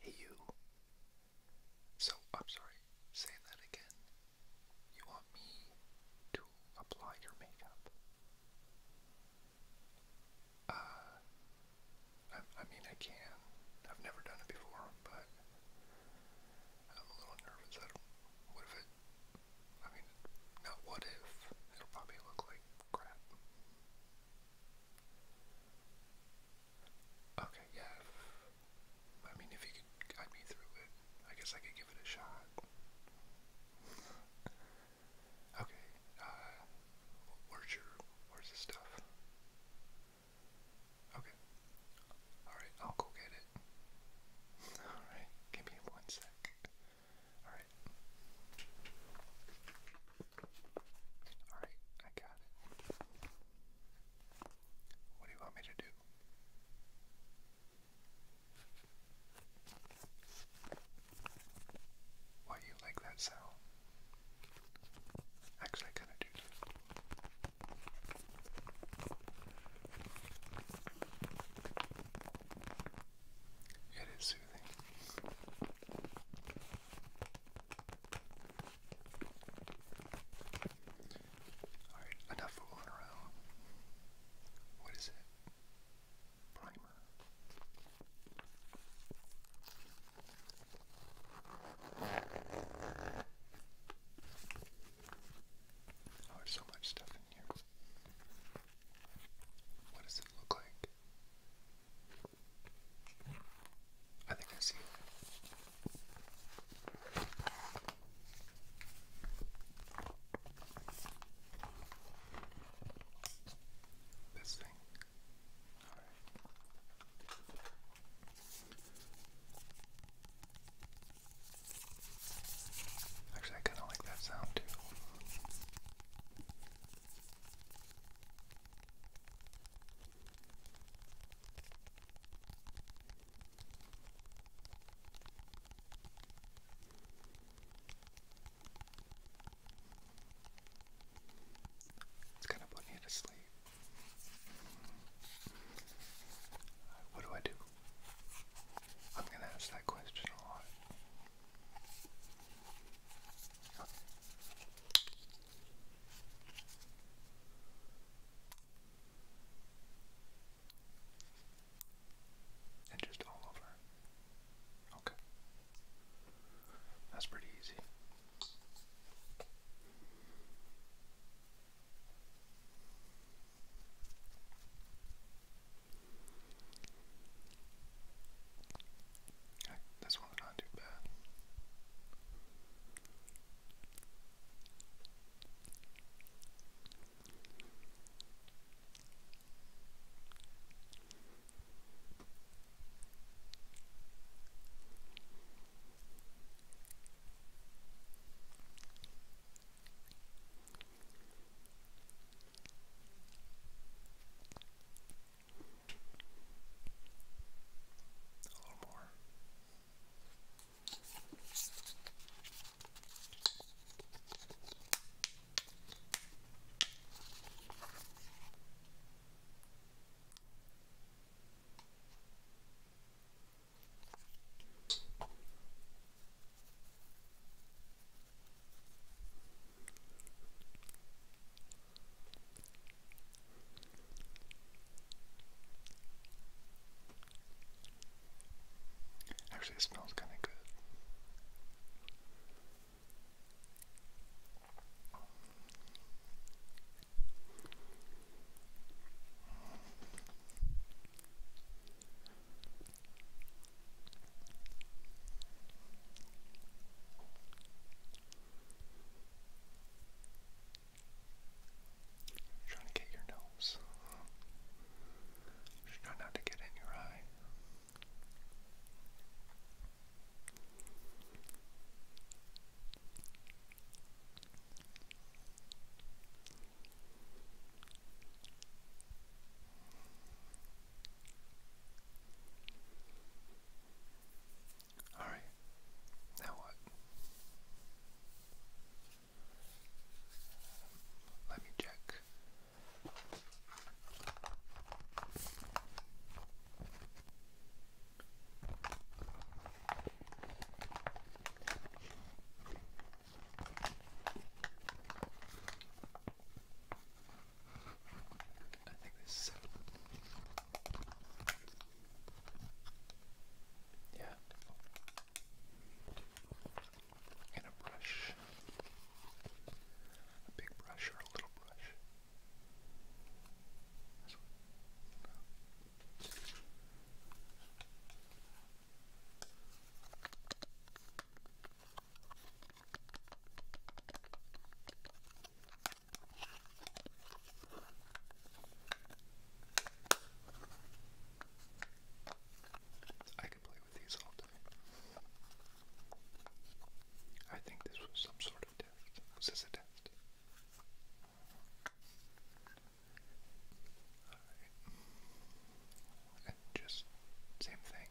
Hey you. So, I'm sorry, say that again. You want me to apply your makeup? Uh, I, mean, I can. I've never done it before, but I'm a little nervous. I don't, what if I mean, not what if, it'll probably look like crap. Okay, yeah, I mean, if you could guide me through it, I guess I could give it a shot. okay, where's your, where's the stuff? Okay. Alright, I'll go get it. Alright, give me one sec. Alright. Alright, I got it. What do you want me to do? Why do you like that sound? Actually, I kind of do. It is soothing. Alright, enough fooling around. What is it? Primer. Oh, there's so much stuff in here. What does it look like? I think I see it. This thing. All right. Actually, I kind of like that sound too. It's kind of putting you to sleep. What do I do? I'm going to ask that question a lot. And just all over. Okay. That's pretty easy. Okay, this one's not too bad. A little more. Actually, it smells kind of good you trying to get your nose. Just not to get in your eye. All right, now what? Let me check. I think this is it. Yeah. And a brush a big brush or a little brush? I could play with these all day. I think this was some sort of test. Was this a test? just same thing.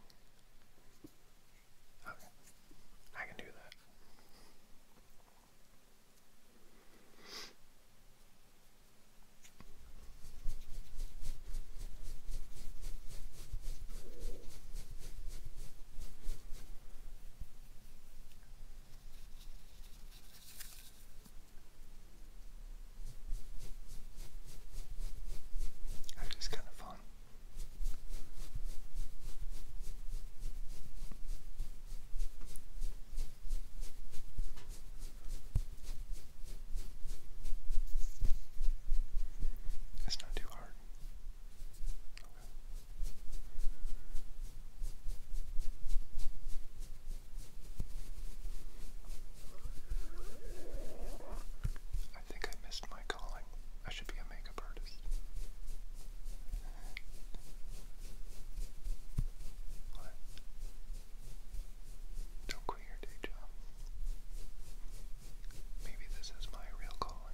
Okay. I can do that. And it's kind of fun. It's not too hard. I think I missed my calling. I should be a makeup artist. Don't quit your day job. Maybe this is my real calling.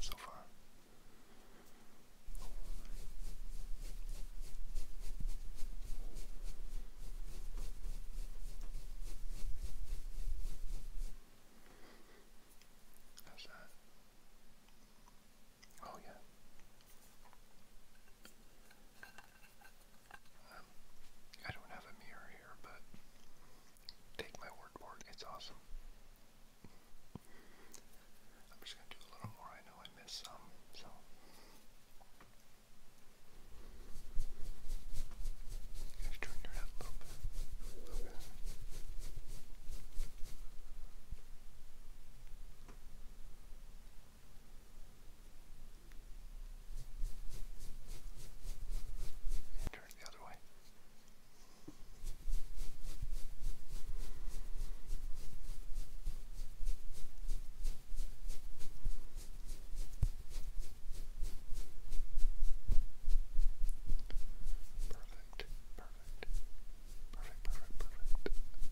so far. How's that? Oh, yeah. I don't have a mirror here, but take my word for it, it's awesome. I'm just going to do a little more. I know I missed some, so. Guys, turn your head a little bit. Turn the other way. Perfect, perfect, perfect,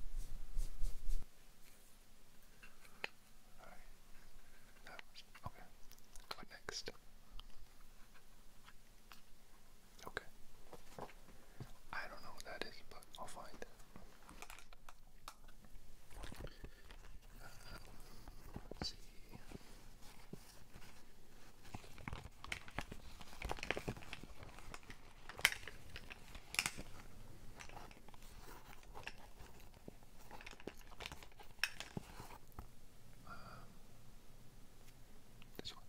perfect, perfect okay. next? Okay. I don't know what that is, but I'll find see. Um, this one.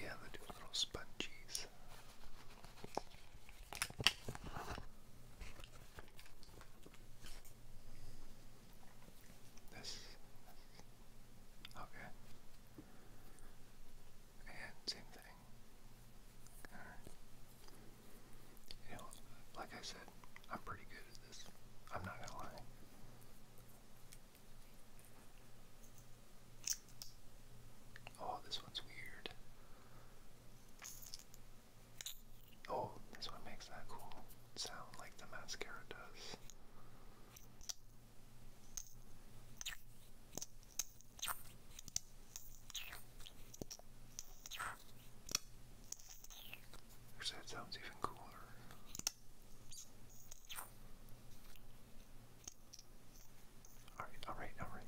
Yeah, they do little sponges. This. Okay same thing. You know, like I said, I'm pretty good at this. I'm not gonna lie. Oh, this one's weird. Oh, this one makes that cool sound like the mascara does. Actually, that sounds even cooler. Alright, alright, alright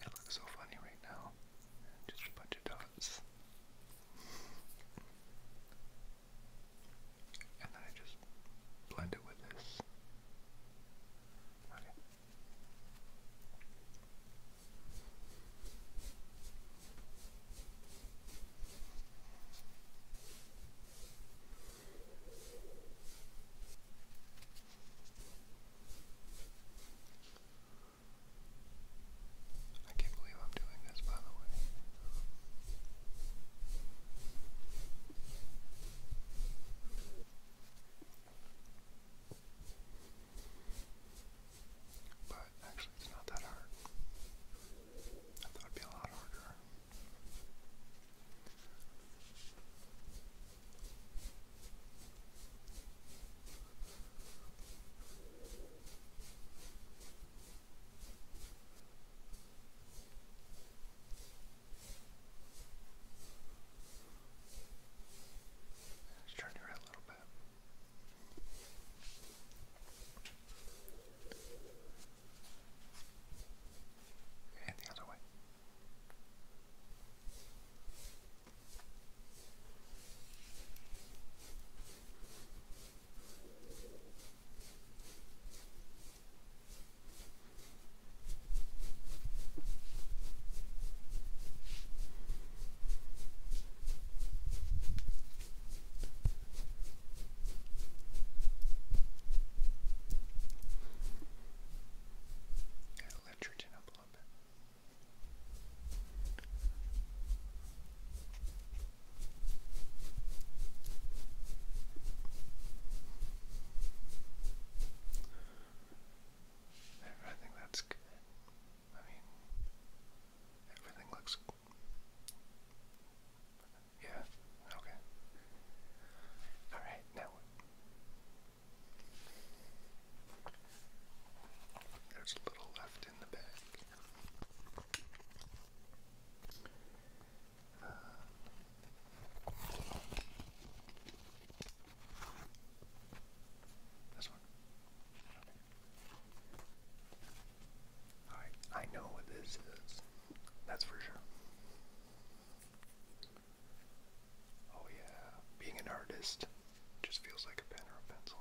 it looks so funny right now. Just a bunch of dots. and then I just blend it with this. I can't believe I'm doing this, by the way. But actually, it's not that hard. I thought it'd be a lot harder. Just turn your head a little bit. And the other way. Gotta lift your chin up a little bit. I think that's good. I mean, everything looks. Yeah, okay. Alright, now There's a little left in the bag this one. Okay. I know what this is. That's for sure. Oh yeah, being an artist just feels like a pen or a pencil.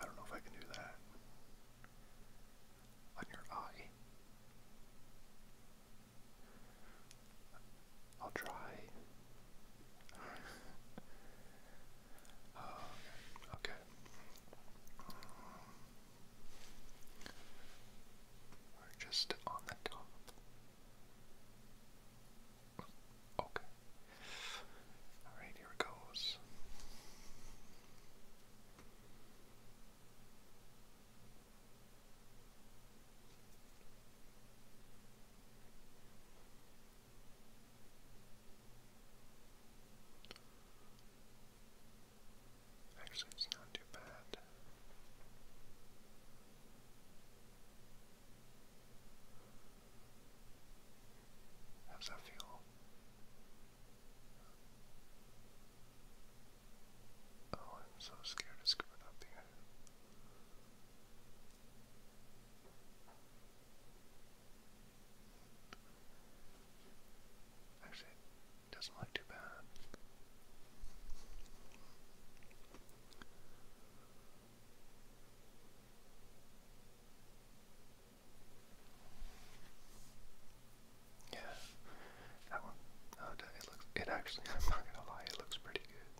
I don't know if I can do that. On your eye. I'll try. Oh, okay. we're just on the top. Okay. Alright, here it goes. Actually, it's not too bad. How that feel? Oh, I'm so scared of screwing up here. Actually, it doesn't look too bad. Yeah, that one. Oh, it looks. It actually. I'm not gonna lie. It looks pretty good.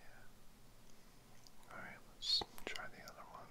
Yeah. All right. Let's try the other one.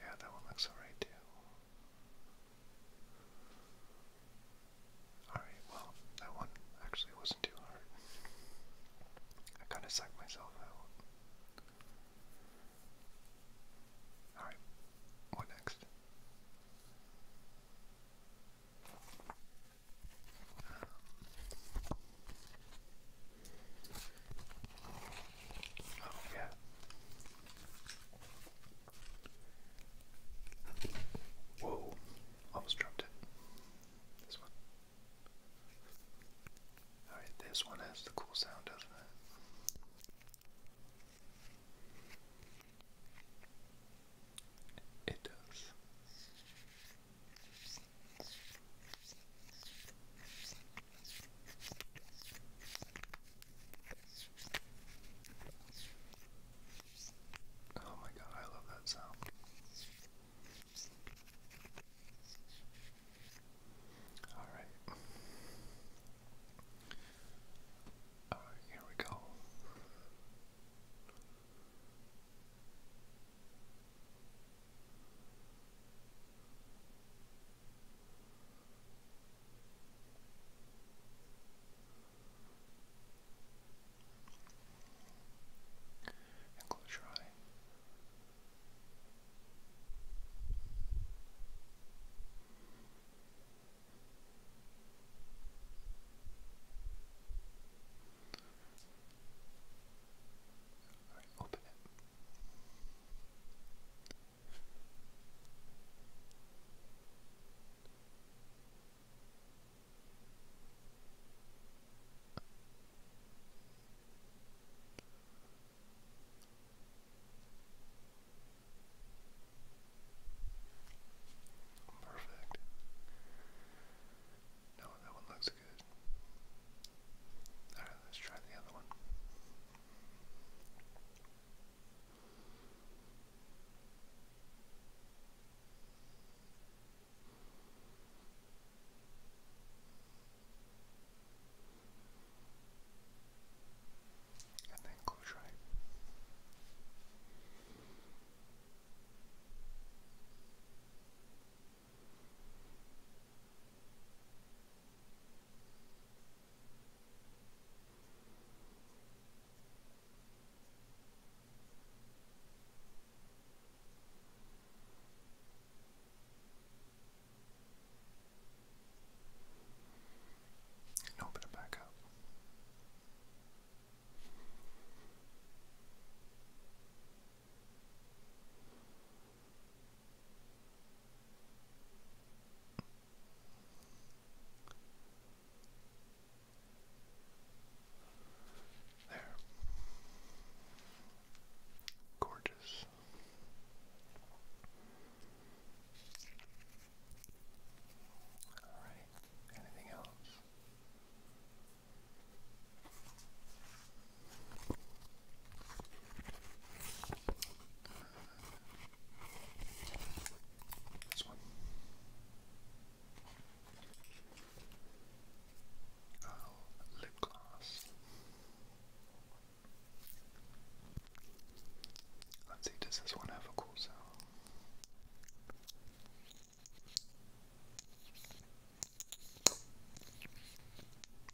Yeah, that one looks alright too. Alright, well, that one actually wasn't too hard. I kind of sucked myself out. Alright, what next? Um, Oh, yeah. Whoa, almost dropped it. This one. Alright, this one has the cool sound, doesn't it? It does. Oh, my God, I love that sound. All right. All right, here we go. And close your eye. All right, open Perfect. No, that one looks Alright, let's try the other one. And then close right and open it back up. There. Gorgeous. All right. Anything else? This one. Uh, lip gloss. Let's see, does this one have a cool sound?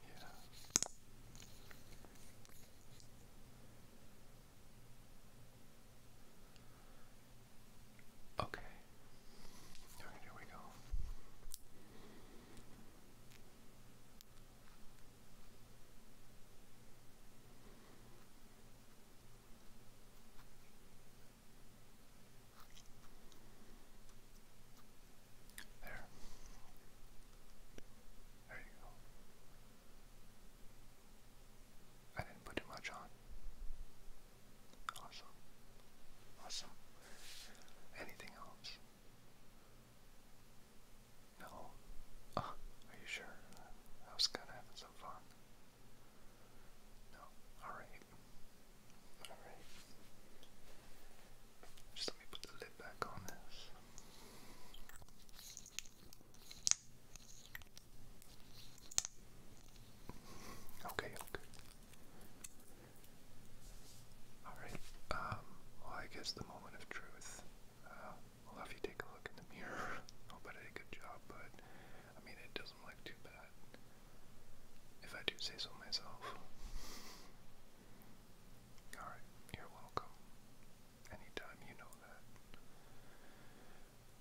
Yeah. Okay. here we go. There. There you go. I didn't put too much on. Awesome. Awesome. Anything else? No. Uh, are you sure? I was kind of having some fun. No. Alright, just let me put the lid back on this. Okay, Alright, um, well, I guess the moment of truth. Uh, I'll have you take a look in the mirror. Hope did a good job, but I mean, it doesn't look too bad, if I do say so myself. Alright, you're welcome. Anytime you know that.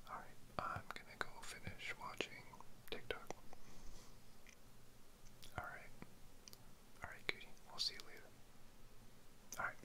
Alright, I'm gonna go finish watching TikTok. Alright. Alright, cutie. We'll see you later. Alright.